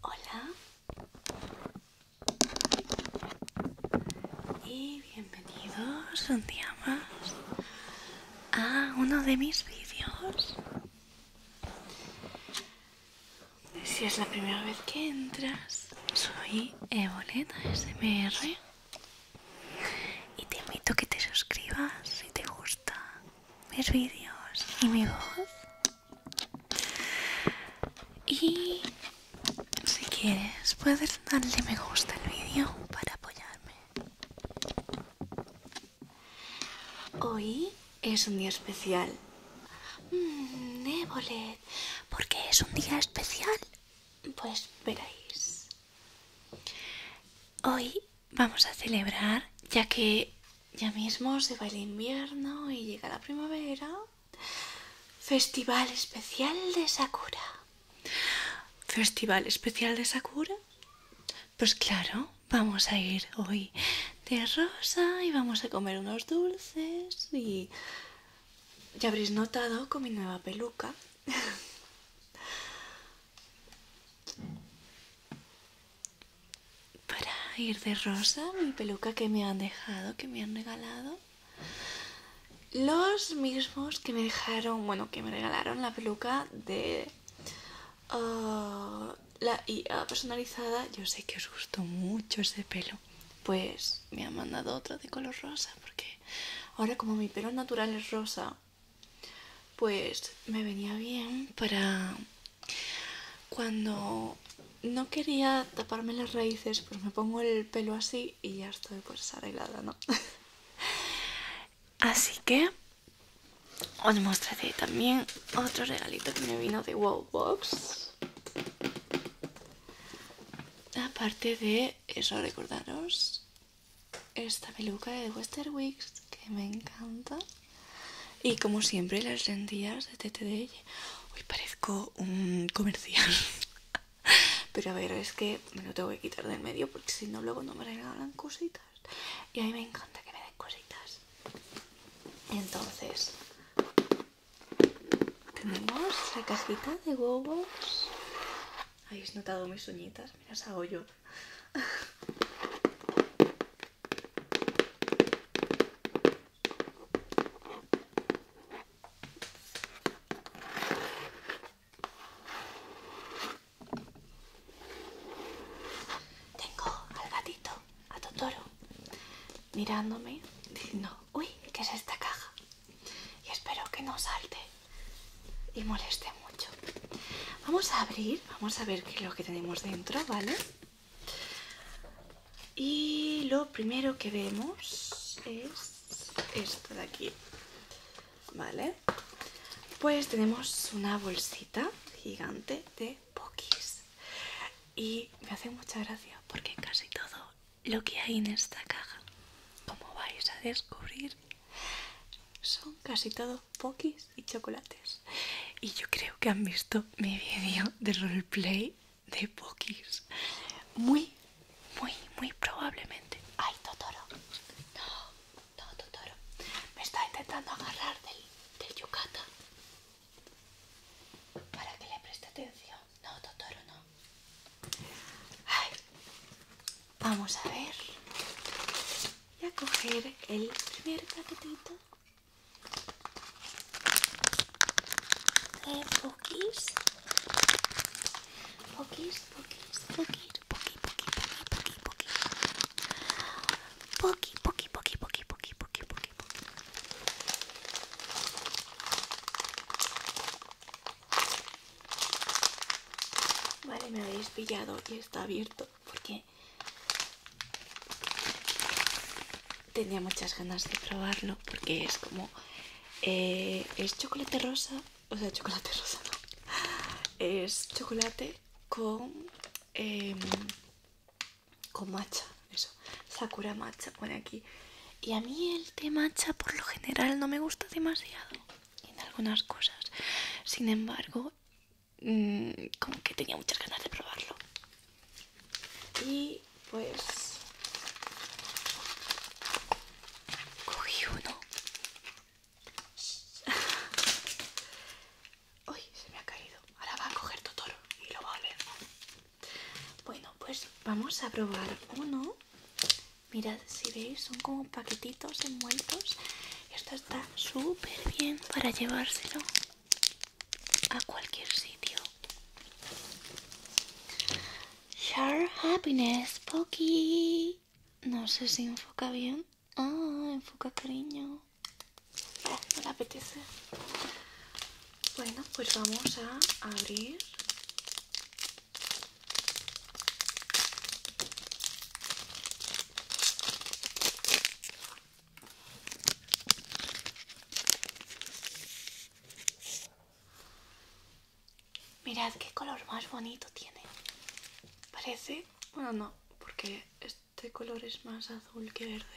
Hola y bienvenidos un día más a uno de mis vídeos. Si es la primera vez que entras, soy Evoleta SMR y te invito a que te suscribas si te gusta mis vídeos y mi voz y si quieres, puedes darle me gusta al vídeo para apoyarme. Hoy es un día especial. Mm, ¿por qué es un día especial? Pues veréis. Hoy vamos a celebrar, ya que ya mismo se va el invierno y llega la primavera. Festival especial de Sakura. ¿Festival especial de Sakura? Pues claro, vamos a ir hoy de rosa y vamos a comer unos dulces y ya habréis notado con mi nueva peluca para ir de rosa mi peluca que me han dejado, que me han regalado. Los mismos que me dejaron, bueno, que me regalaron la peluca de ah, la IA personalizada. Yo sé que os gustó mucho ese pelo. Pues me ha mandado otro de color rosa, porque ahora como mi pelo natural es rosa, pues me venía bien para cuando no quería taparme las raíces, pues me pongo el pelo así y ya estoy pues arreglada, ¿no? así que os mostraré también otro regalito que me vino de Wowbox. Aparte de eso, recordaros esta peluca de Westerwix que me encanta. Y como siempre, las vendidas de TTD. Hoy parezco un comercial. Pero a ver, es que me lo tengo que quitar del medio porque si no, luego no me regalan cositas. Y a mí me encanta que me den cositas. Entonces, tenemos la cajita de huevos. ¿Habéis notado mis uñitas? Mira hago yo. Tengo al gatito, a Totoro, mirándome, diciendo, uy, ¿qué es esta caja? Y espero que no salte y moleste mucho. Vamos a abrir, vamos a ver qué es lo que tenemos dentro, ¿vale? Y lo primero que vemos es esto de aquí. Vale. Pues tenemos una bolsita gigante de pokis. Y me hace mucha gracia porque casi todo lo que hay en esta caja, como vais a descubrir, son casi todos pokis y chocolates. Y yo creo que han visto mi vídeo de roleplay de Pokis. Muy, muy, muy probablemente. ¡Ay, Totoro! No, Totoro. Me está intentando agarrar del, del yucata para que le preste atención. No, Totoro, no. Ay. Vamos a ver. y a coger el primer paquetito eh, poquís poquís poquís poquís poquís poquís poquís poquís poquís poquís poquís poquís poquís poquís poki poki Vale, me habéis pillado y está abierto porque tenía muchas ganas de probarlo porque es como eh, es chocolate rosa o sea chocolate rosa no es chocolate con em, con matcha eso sakura matcha pone aquí y a mí el té matcha por lo general no me gusta demasiado en algunas cosas sin embargo Mm, como que tenía muchas ganas de probarlo. Y pues cogí uno. Uy, se me ha caído. Ahora va a coger Totoro y lo va a oler. Bueno, pues vamos a probar uno. Mirad, si veis, son como paquetitos envueltos. Esto está súper bien para llevárselo a cualquier sitio. Share happiness, Poki. No sé si enfoca bien. Ah, enfoca cariño. Me no apetece. Bueno, pues vamos a abrir. Mirad qué color más bonito tiene. Parece... Bueno, no, porque este color es más azul que verde.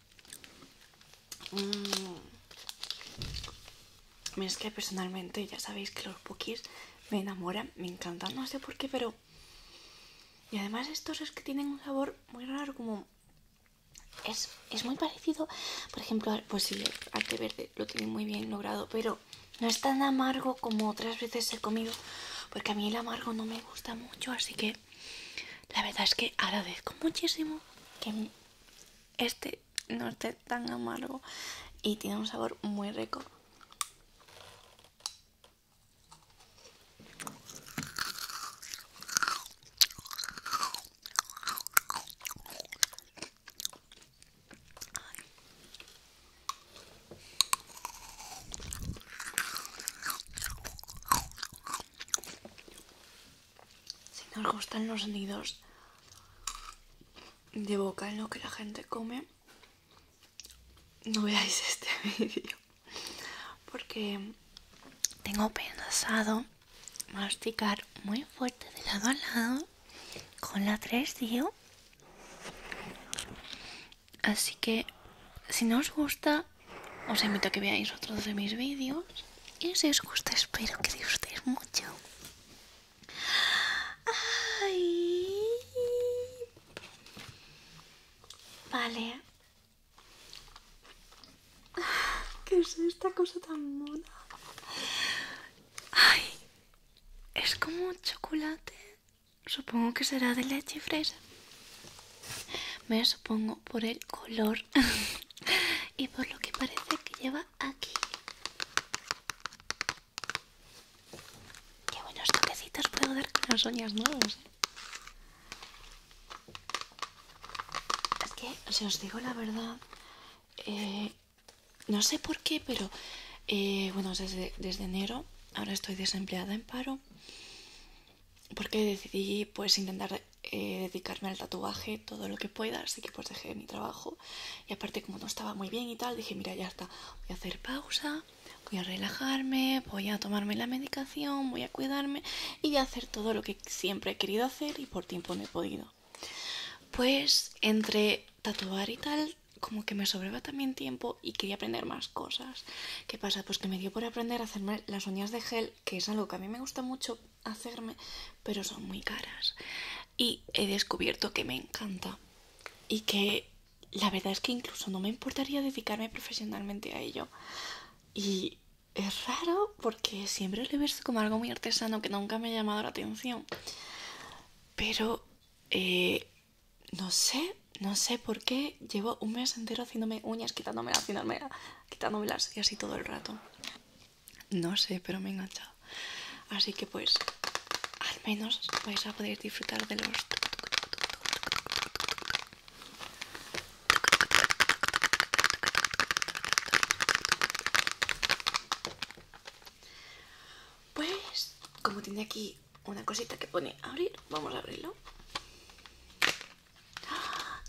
Mmm. Es que personalmente ya sabéis que los bookies me enamoran, me encantan, no sé por qué, pero... Y además estos es que tienen un sabor muy raro, como... Es, es muy parecido, por ejemplo, pues sí, el arte verde lo tiene muy bien logrado, pero no es tan amargo como otras veces he comido, porque a mí el amargo no me gusta mucho, así que la verdad es que agradezco muchísimo que este no esté tan amargo y tiene un sabor muy rico. Si nos gustan los nidos de boca en lo que la gente come, no veáis este vídeo. Porque tengo pensado masticar muy fuerte de lado a lado con la 3, tío. Así que si no os gusta os invito a que veáis otros de mis vídeos. Y si os gusta, espero que disfrutéis mucho. Ay. Vale. ¿Qué es esta cosa tan mona? Ay, es como chocolate. Supongo que será de leche fresa. Me supongo por el color y por lo que parece que lleva aquí. Qué buenos toquecitos puedo dar con las uñas nuevas ¿eh? Es que, si os digo la verdad, eh, no sé por qué, pero eh, bueno, desde, desde enero ahora estoy desempleada en paro porque decidí pues intentar eh, dedicarme al tatuaje todo lo que pueda, así que pues dejé mi trabajo y aparte como no estaba muy bien y tal, dije mira ya está, voy a hacer pausa, voy a relajarme, voy a tomarme la medicación, voy a cuidarme y a hacer todo lo que siempre he querido hacer y por tiempo no he podido. Pues entre tatuar y tal, como que me sobraba también tiempo y quería aprender más cosas. ¿Qué pasa? Pues que me dio por aprender a hacerme las uñas de gel que es algo que a mí me gusta mucho hacerme, pero son muy caras. Y he descubierto que me encanta y que la verdad es que incluso no me importaría dedicarme profesionalmente a ello. Y es raro porque siempre lo he visto como algo muy artesano que nunca me ha llamado la atención. Pero eh, no sé, no sé por qué llevo un mes entero haciéndome uñas, quitándome, haciéndome quitándome las y así todo el rato. No sé, pero me he enganchado. Así que pues al menos vais a poder disfrutar de los pues como tiene aquí una cosita que pone abrir vamos a abrirlo Ah.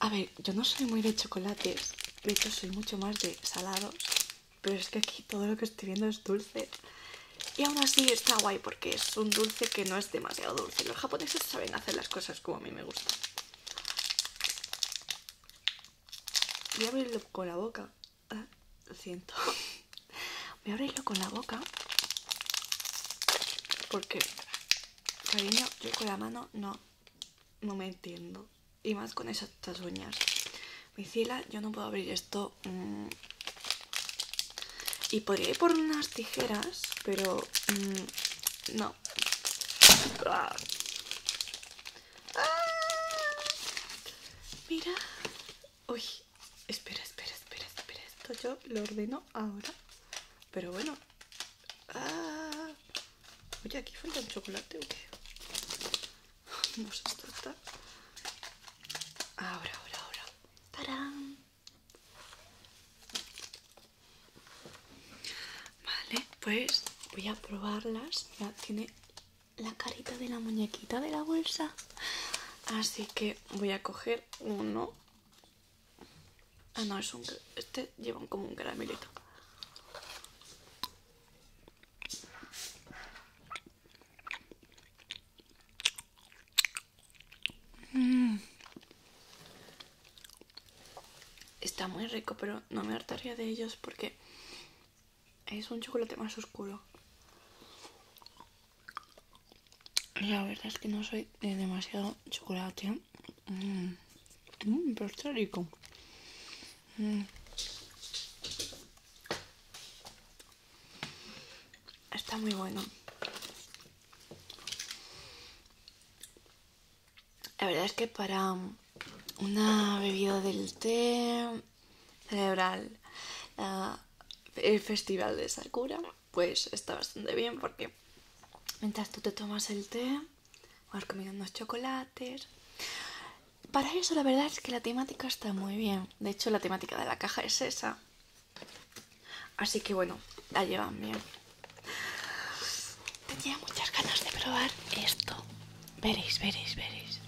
A ver, yo no soy muy de chocolates, de hecho soy mucho más de salados, pero es que aquí todo lo que estoy viendo es dulce. Y aún así está guay porque es un dulce que no es demasiado dulce. Los japoneses saben hacer las cosas como a mí me gustan. Y abrirlo con la boca lo ah, siento voy a abrirlo con la boca porque cariño yo con la mano no no me entiendo y más con esas uñas micila yo no puedo abrir esto mm. y podría ir por unas tijeras pero mm, no ah. ¡Ah! Mira. Uy, espera, espera, espera, espera. Esto yo lo ordeno ahora. Pero bueno. ¡Ah! Oye, aquí falta un chocolate o qué? No Ahora, ahora, ahora. ¡Tarán! Vale, pues voy a probarlas. Mira, tiene la carita de la muñequita de la bolsa. Así que voy a coger uno. Ah, no, es un... Este lleva como un caramelito. Mm. Está muy rico, pero no me hartaría de ellos porque es un chocolate más oscuro. La verdad es que no soy de demasiado chocolate. Mm. Mm, pero está rico. Mm. Está muy bueno. La verdad es que para una bebida del té, cerebral. Eh, el festival de Sakura, pues está bastante bien porque mientras tú te tomas el té, vas comiendo unos chocolates. Para eso la verdad es que la temática está muy bien. De hecho, la temática de la caja es esa. Así que bueno, la llevan bien. Tenía muchas ganas de probar esto. Veréis, veréis, veréis.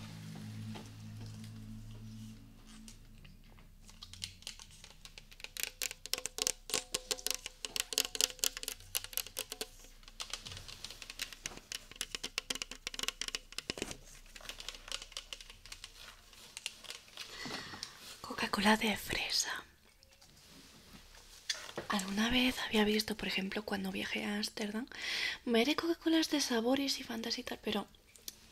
Coca-Cola de fresa. ¿Alguna vez había visto, por ejemplo, cuando viajé a Ámsterdam, veré Coca-Colas de sabores y Fantas tal, pero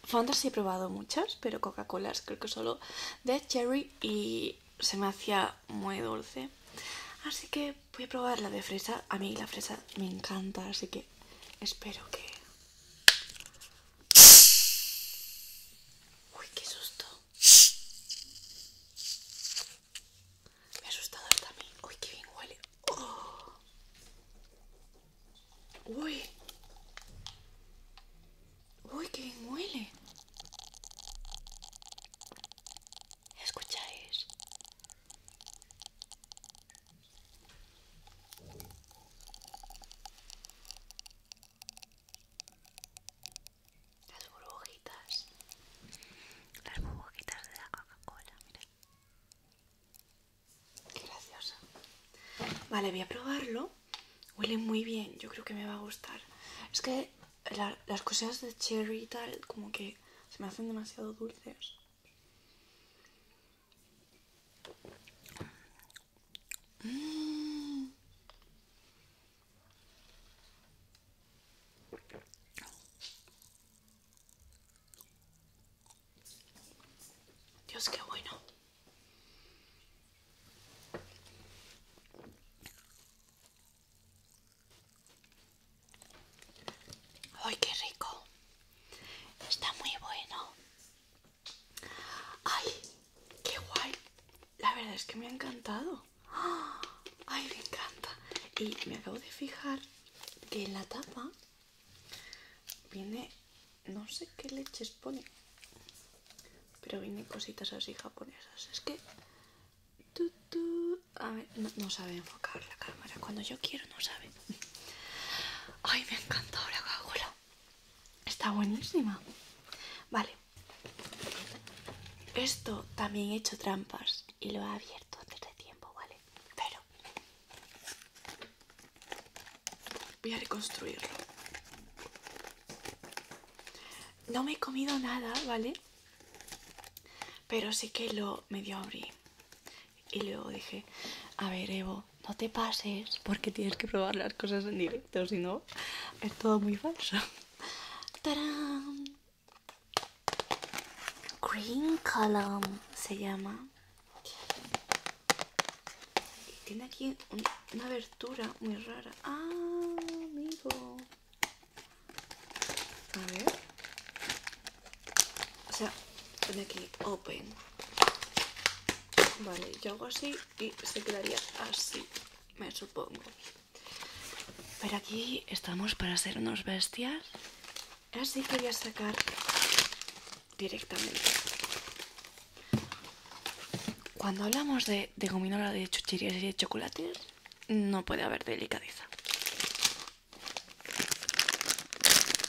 Fantasy he probado muchas, pero Coca-Colas creo que solo de cherry y se me hacía muy dulce. Así que voy a probar la de fresa. A mí la fresa me encanta, así que espero que... Uy, qué susto. Me ha asustado también. Uy, qué bien huele. Oh. Uy. Uy, qué bien huele. ¿Escucháis? Las burbujitas. Las burbujitas de la Coca-Cola, graciosa. Vale, voy a probarlo. Huele muy bien, yo creo que me va a gustar. Es que las cosas de cherry tal, como que se me hacen demasiado dulces. Dios, qué bueno. ¡Ay, qué rico! Está muy bueno. ¡Ay, qué guay! La verdad es que me ha encantado. ¡Ah! Ay, me encanta. Y me acabo de fijar que en la tapa viene, no sé qué leches pone, pero viene cositas así japonesas. Es que... a ver, no, sabe enfocar la cámara. Cuando yo quiero no sabe. Ay, me encanta ahora cagula. Está buenísima. Vale. Esto también he hecho trampas y lo he abierto antes de tiempo, ¿vale? pero voy a reconstruirlo. No me he comido nada, ¿vale? Pero sí que lo medio abrí. Y luego dije, a ver Evo, no te pases porque tienes que probar las cosas en directo, si no es todo muy falso. Green Column se llama. tiene aquí una abertura muy rara. Ah, amigo. A ver. O sea, pone aquí open. Vale, yo hago así y se quedaría así, me supongo. Pero aquí estamos para hacer unos bestias. Así que sacar directamente. Cuando hablamos de, gominola de chucherías y de chocolates, no puede haber delicadeza.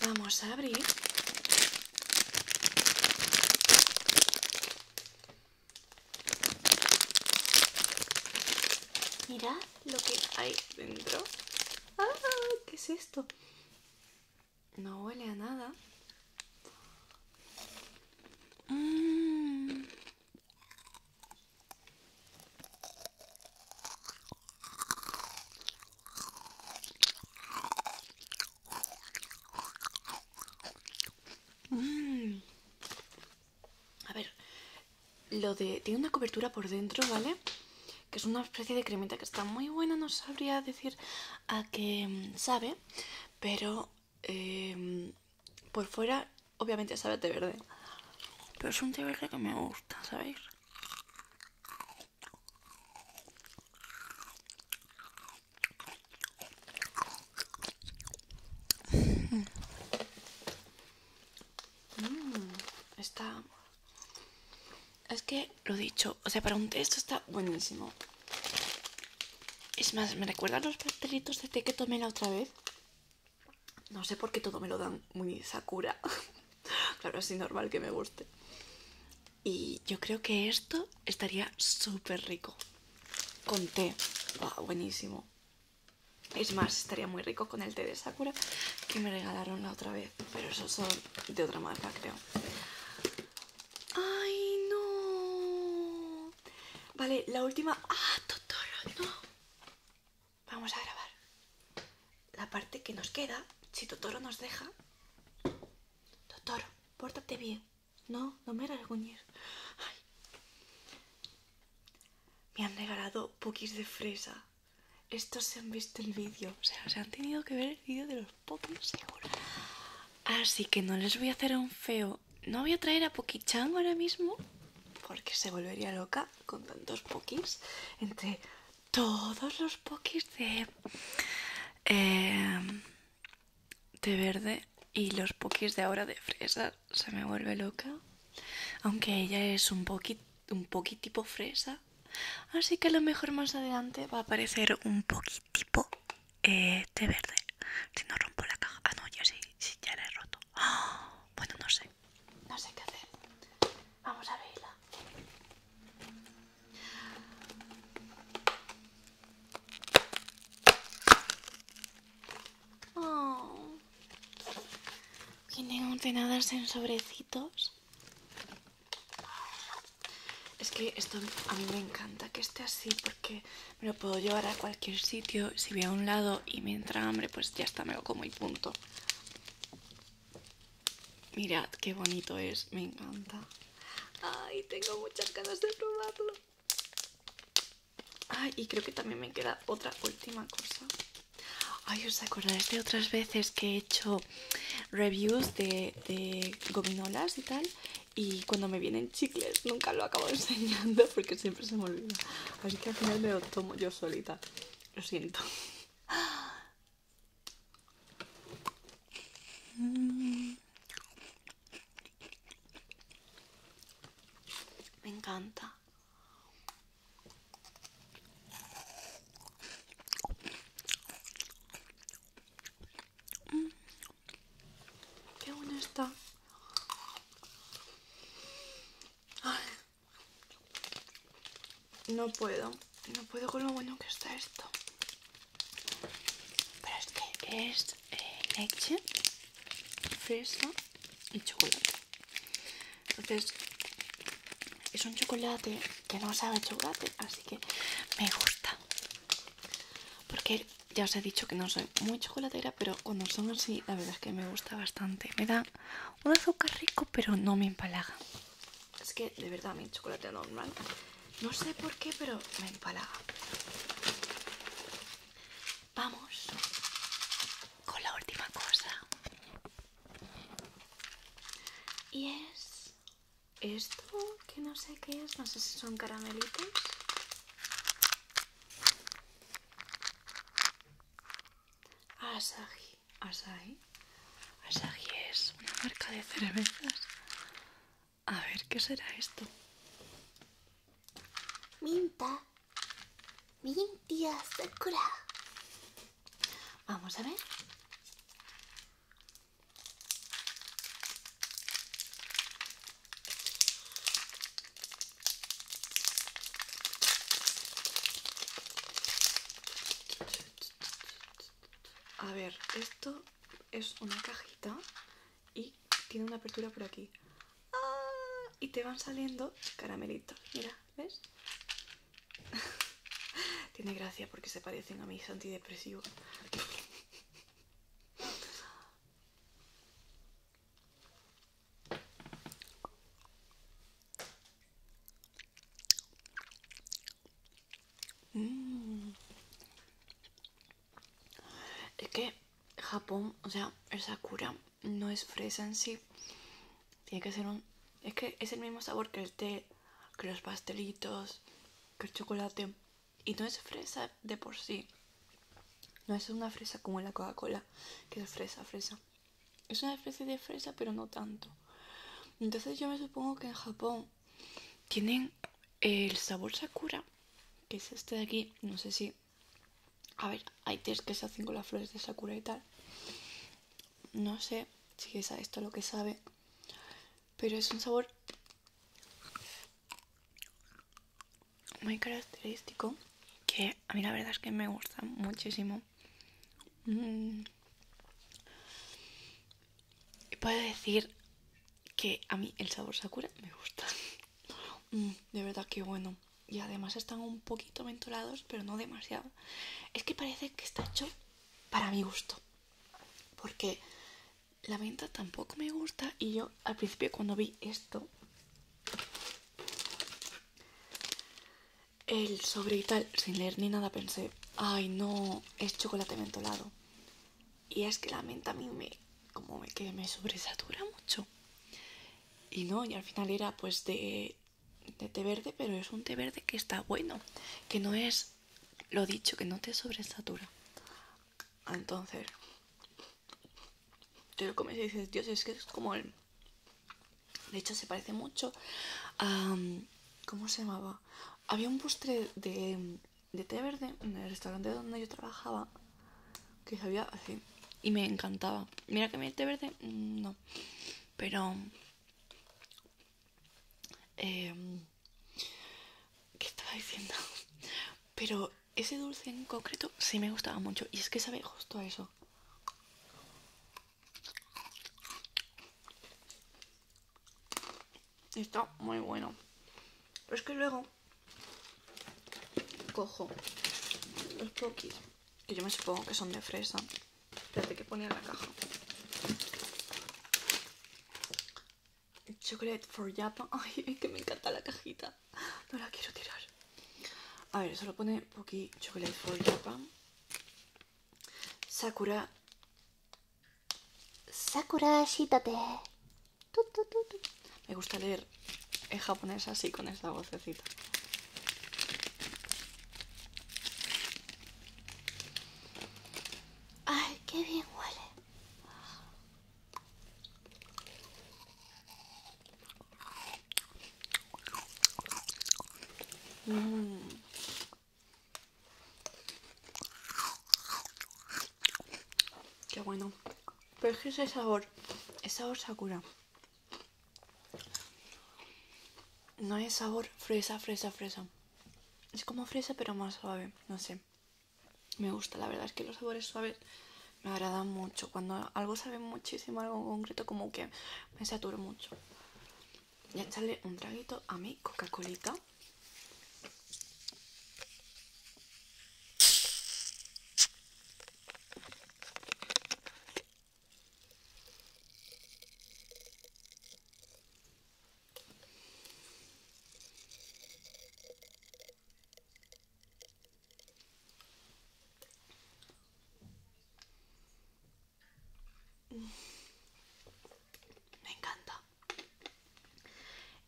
Vamos a abrir. Mirad lo que hay dentro. ¡Ah! ¿Qué es esto? No huele a nada. Mm. Mm. A ver, lo de... Tiene una cobertura por dentro, ¿vale? Que es una especie de cremita que está muy buena, no sabría decir a qué mm, sabe, pero em, por fuera obviamente sabe a té verde. Pero es un té verde que me gusta, ¿sabéis? Mmm, está... Es que, lo dicho, o sea, para un té esto está buenísimo. Es más, me recuerda los pastelitos de té que tomé la otra vez. No sé por qué todo me lo dan muy Sakura. claro, así normal que me guste. Y yo creo que esto estaría súper rico. Con té. buenísimo. Es más, estaría muy rico con el té de Sakura que me regalaron la otra vez. Pero esos son de otra marca, creo. ¡Ay, no! Vale, la última... ¡Ah, Totoro, no! Vamos a grabar. La parte que nos queda, si Totoro nos deja. Totoro, pórtate bien. No, no me Ay me han regalado pokis de fresa. Estos se han visto el vídeo, o sea, se han tenido que ver el vídeo de los pokis seguro. Así que no les voy a hacer un feo. No voy a traer a poquichango ahora mismo porque se volvería loca con tantos pokis entre todos los pokis de eh, de verde y los pokis de ahora de fresa se me vuelve loca. Aunque ella es un poquito un poquitito fresa. Así que a lo mejor más adelante va a aparecer un poquitito tipo eh, verde. Si no rompo la caja. Ah, no, ya sí, ya la he roto. Bueno, no sé. No sé qué hacer. Vamos a verla. Oh. Vienen ordenadas en sobrecitos. Es que esto a mí me encanta que esté así porque me lo puedo llevar a cualquier sitio. Si voy a un lado y me entra hambre, pues ya está, me lo como y punto. Mirad qué bonito es, me encanta. Ay, tengo muchas ganas de probarlo. Ay, y creo que también me queda otra última cosa. Ay, ¿os acordáis de otras veces que he hecho reviews de, de gominolas y tal? Y cuando me vienen chicles nunca lo acabo enseñando porque siempre se me olvida. Así que al final me lo tomo yo solita. Lo siento. Me encanta. Mm. Qué bueno está. No puedo, no puedo con lo bueno que está esto. Pero es que es eh, leche, fresa y chocolate. Entonces es un chocolate que no sabe chocolate, así que me gusta. Porque ya os he dicho que no soy muy chocolatera, pero cuando son así, la verdad es que me gusta bastante. Me da un azúcar rico, pero no me empalaga. Es que de verdad mi chocolate normal, no sé por qué, pero me empalaga. Vamos con la última cosa y es esto que no sé qué es no sé si son caramelitos Asahi Asahi Asahi es una marca de cervezas a ver qué será esto Minta. Mintia Sakura. Vamos a ver. A ver, esto es una cajita y tiene una apertura por aquí. Ah, y te van saliendo caramelitos. Mira, ¿ves? Tiene gracia porque se parecen a mis antidepresivos. Mm. Es que Japón, o sea, esa Sakura no es fresa en sí. Tiene que ser un... Es que es el mismo sabor que el té, que los pastelitos, que el chocolate. Y no es fresa de por sí. No es una fresa como la Coca-Cola, que es fresa, fresa. Es una especie de fresa, pero no tanto. Entonces yo me supongo que en Japón tienen el sabor sakura, que es este de aquí. No sé si a ver, hay test que se hacen con las flores de Sakura y tal. No sé si es esto lo que sabe. Pero es un sabor muy característico. Que a mí la verdad es que me gusta muchísimo. Mm. Y puedo decir que a mí el sabor Sakura me gusta. Mm, de verdad que bueno. Y además están un poquito mentolados, pero no demasiado. Es que parece que está hecho para mi gusto. Porque la menta tampoco me gusta. Y yo al principio cuando vi esto, el sobre y tal, sin leer ni nada, pensé, ay no, es chocolate mentolado. Y es que la menta a mí me, como que me sobresatura mucho. Y no, y al final era pues de, té verde, pero es un té verde que está bueno, que no es lo dicho, que no te sobresatura. Entonces, yo lo comes y dices, Dios, es que es como el. De hecho, se parece mucho a. ¿Cómo se llamaba? Había un postre de, de té verde en el restaurante donde yo trabajaba que sabía así. Y me encantaba. Mira que me este verde, mm, no. Pero. Em, ¿Qué estaba diciendo? Pero ese dulce en concreto sí me gustaba mucho. Y es que sabe justo a eso. Está muy bueno. Pero es que luego cojo los pokis, que yo me supongo que son de fresa, desde que ponía en la caja. Chocolate for Japan. Ay, que me encanta la cajita. No la quiero tirar. A ver, solo pone Poki Chocolate for Japan. Sakura. Sakura Shitate. tut me gusta leer en japonés así con esta vocecita. ¡Ay, qué bien huele! Mm. Qué bueno. Pero es ese sabor, es sabor sakura. No es sabor fresa, fresa, fresa. Es como fresa pero más suave, no sé. Me gusta, la verdad es que los sabores suaves me agradan mucho. Cuando algo sabe muchísimo, algo en concreto, como que me saturo mucho. Ya echarle un traguito a mi Coca-Colita. Me encanta.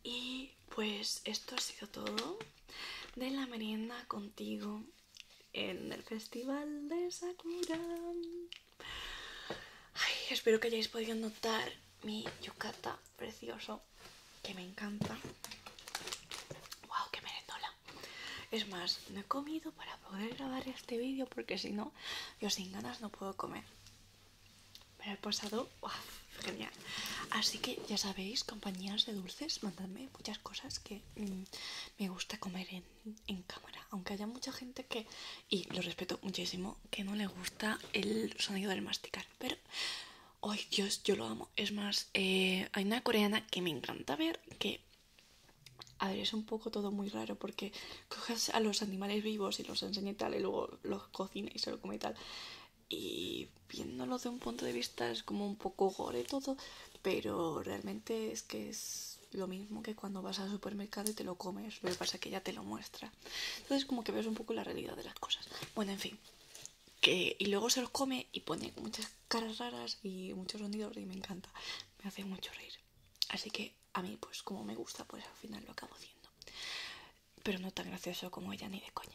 Y pues esto ha sido todo de la merienda contigo en el Festival de Sakura. espero que hayáis podido notar mi yucata precioso, que me encanta. ¡Wow, qué merendola! Es más, no he comido para poder grabar este vídeo porque si no, yo sin ganas no puedo comer. Pero he pasado, genial. Así que ya sabéis, compañías de dulces, mandadme muchas cosas que mm, me gusta comer en, cámara, aunque haya mucha gente que, y lo respeto muchísimo, que no le gusta el sonido del masticar, pero hoy Dios, yo lo amo. Es más, eh, hay una coreana que me encanta ver que a ver, es un poco todo muy raro porque coges a los animales vivos y los enseñe tal y luego los cocina y se lo come y tal y viéndolo de un punto de vista es como un poco gore todo, pero realmente es que es lo mismo que cuando vas al supermercado y te lo comes, lo que pasa es que ella te lo muestra. Entonces como que ves un poco la realidad de las cosas. Bueno, en fin. Que, y luego se los come y pone muchas caras raras y muchos sonidos y me encanta. Me hace mucho reír. Así que a mí pues como me gusta pues al final lo acabo haciendo. Pero no tan gracioso como ella ni de coña.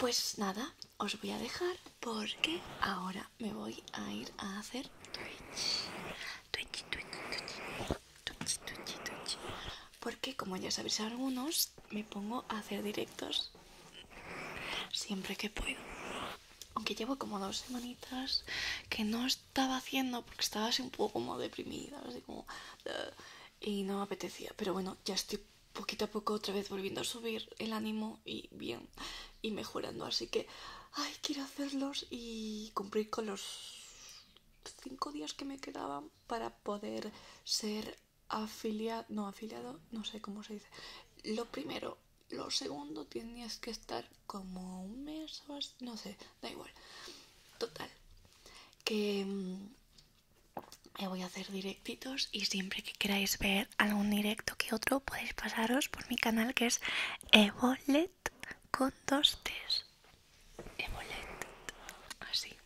Pues nada, os voy a dejar porque ahora me voy a ir a hacer Twitch. Twitch, Twitch, Twitch. Twitch, Porque como ya sabéis algunos, me pongo a hacer directos siempre que puedo. Aunque llevo como dos semanitas que no estaba haciendo porque estaba un poco como deprimida, Y no apetecía. Pero bueno, ya estoy poquito a poco otra vez volviendo a subir el ánimo y bien y mejorando. Así que, ay, quiero hacerlos y cumplir con los cinco días que me quedaban para poder ser afiliado, no afiliado, no sé cómo se dice. Lo primero, lo segundo, tienes que estar como un mes o no sé, da igual. Total, que mm, me voy a hacer directitos y siempre que queráis ver algún directo que otro podéis pasaros por mi canal que es Evolet con dos T's. así.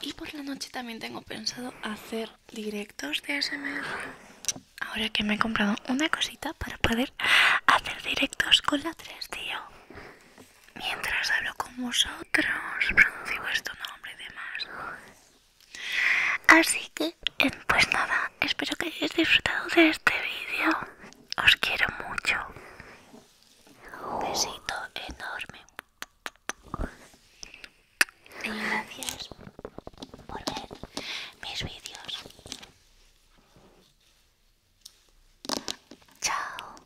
Y por la noche también tengo pensado hacer directos de sms Ahora que me he comprado una cosita para poder hacer directos con la 3 tío mientras hablo con vosotros, pronuncio vuestro nombre y demás. Así que, eh, pues nada, espero que hayáis disfrutado de este vídeo. Os quiero mucho. besito enorme. gracias por ver mis vídeos. Chao.